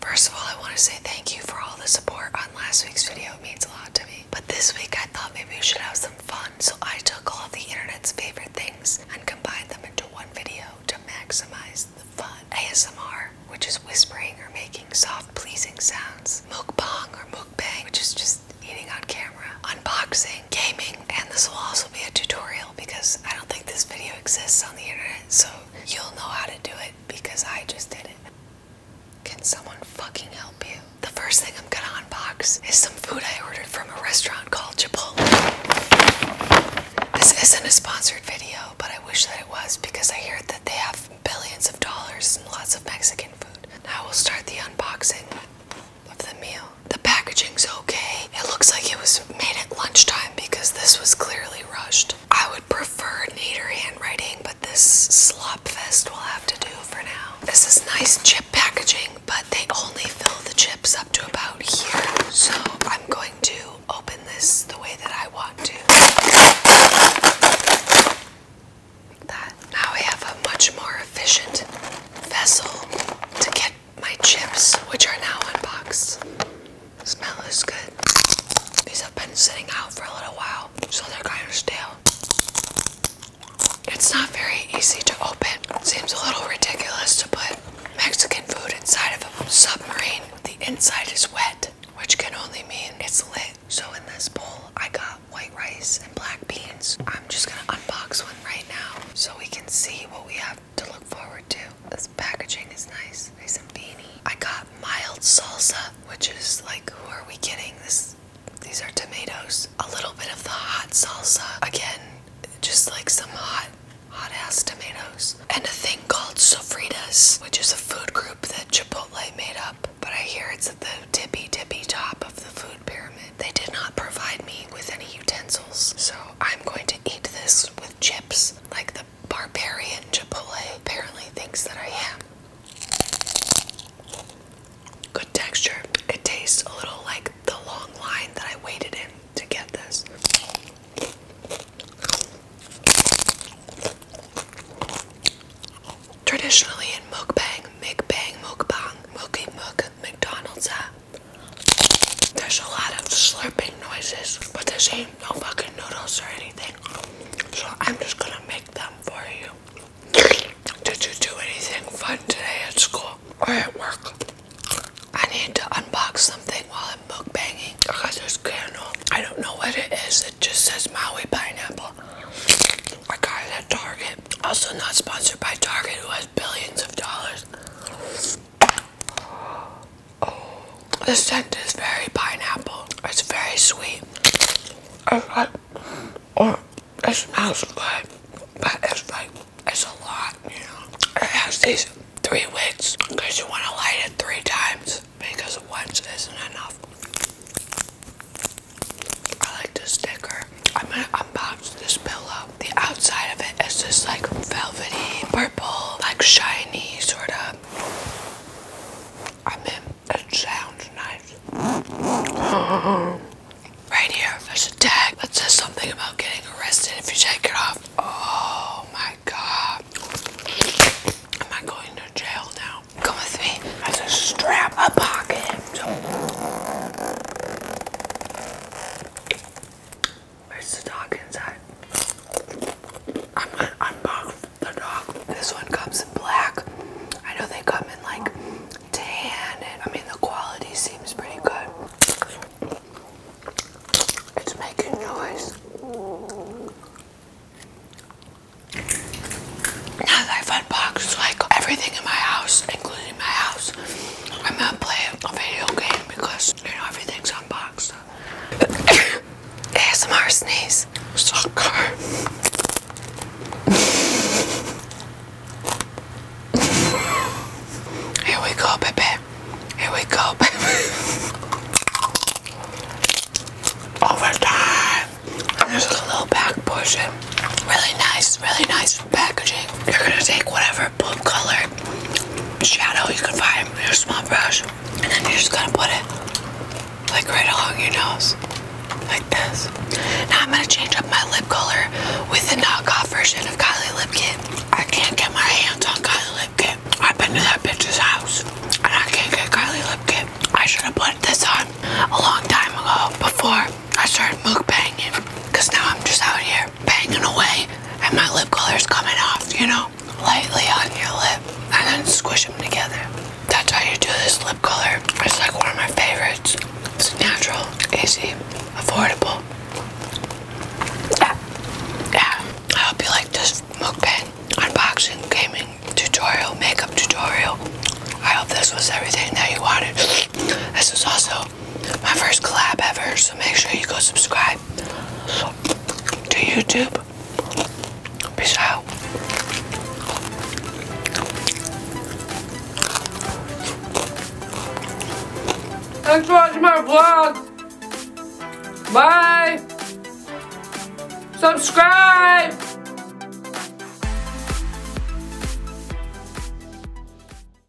First of all, I want to say thank you for all the support on last week's video. It means a lot to me. But this week I thought maybe we should have some fun, so I took all of the internet's favorite things and combined them into one video to maximize the fun. ASMR, which is whispering or making soft, pleasing sounds. Mukbang or mukbang, which is just eating on camera. Unboxing, gaming, and this will also be a tutorial because I don't think this video exists on the internet, so you'll know how to do it because I just did it. Can someone fucking help you? The first thing I'm gonna unbox is some food I ordered from a restaurant called Chipotle. This isn't a sponsored video, but I wish that it was because I hear that they have billions of dollars and lots of Mexican food. Now we'll start the unboxing of the meal. The packaging's okay. It looks like it was made at lunchtime because this was clearly rushed. I would prefer neater handwriting, but this slop fest will have to do for now. This is nice chip packaging, but they only fill the chips up to about here. So I'm going to open this the way that I want to. Like that. Now I have a much more efficient vessel to get my chips, which are now unboxed. smell as good. These have been sitting out for a little while, so they're kind of stale. It's not very easy to open. seems a little ridiculous to put Mexican food inside of a submarine. The inside is wet, which can only mean it's lit. So in this bowl, I got white rice and black beans. I'm just gonna unbox one right now so we can see what we have to look forward to. This packaging is nice. Nice and beanie. I got mild salsa, which is like, who are we kidding? This, these are tomatoes. A little bit of the hot salsa. Again, just like some hot, hot ass tomatoes. And a thing called sofritas, which is a food group that Chipotle made up. But I hear it's at the tippy tippy top of the food pyramid. They did not provide me with any utensils, so I'm going to eat this with chips, like the barbarian Chipotle apparently thinks that I am. Good texture. It tastes a little like the long line that I waited in to get this. Traditionally in mukbang, mukbang, mukbang, mookie mook, McDonald's, uh, there's a lot of slurping noises, but there's no fucking noodles or anything. So I'm just gonna make them for you. Did you do anything fun today at school or at work? I need to unbox something while I'm I got this candle. I don't know what it is. It just says Maui pineapple. I got it at Target. Also not sponsored by Target, who has billions of dollars. The scent is very pineapple. It's very sweet. It's like, oh, it smells good, but it's like, it's a lot, you know. It has these three wicks because you want to light it three times because once isn't enough. I like this sticker. I'm gonna unbox this pillow the outside of it is just like velvety purple, like shiny sort of. I am mean, it sounds nice. Right here, there's a tag that says something about getting arrested if you take it off. Oh my god. Am I going to jail now? Come with me. I just strap, a pocket. Where's the dog inside? I'm gonna unbox the dog. This one comes in black. I know they come in like tan, and I mean, the quality seems pretty good. It's making noise. Now that I've like everything in my house, including my house. I'm gonna play a video game because you know everything's unboxed. ASMR sneeze. Soccer. Here we go, baby. Here we go, baby. Overtime. just a little back pushing. Really nice, really nice packaging. You're gonna take whatever blue color shadow you can find your small brush and then you're just gonna put it like right along your nose like this now I'm gonna change up my lip color with the knockoff version of Kylie Lip Kit I can't get my hands on Kylie Lip Kit I've been to that bitch's house and I can't get Kylie Lip Kit I should have put this on a long time ago before I started mukbanging because now I'm just out here they're banging away and my lip color's coming off, you know? Lightly on your lip and then squish them together. That's how you do this lip color. It's like one of my favorites. It's natural, easy, affordable. Yeah. Yeah. I hope you like this mukbang, unboxing, gaming tutorial, makeup tutorial. I hope this was everything that you wanted. This was also my first collab ever, so make sure you go subscribe to YouTube. Peace out. Thanks for watching my vlog. Bye. Subscribe.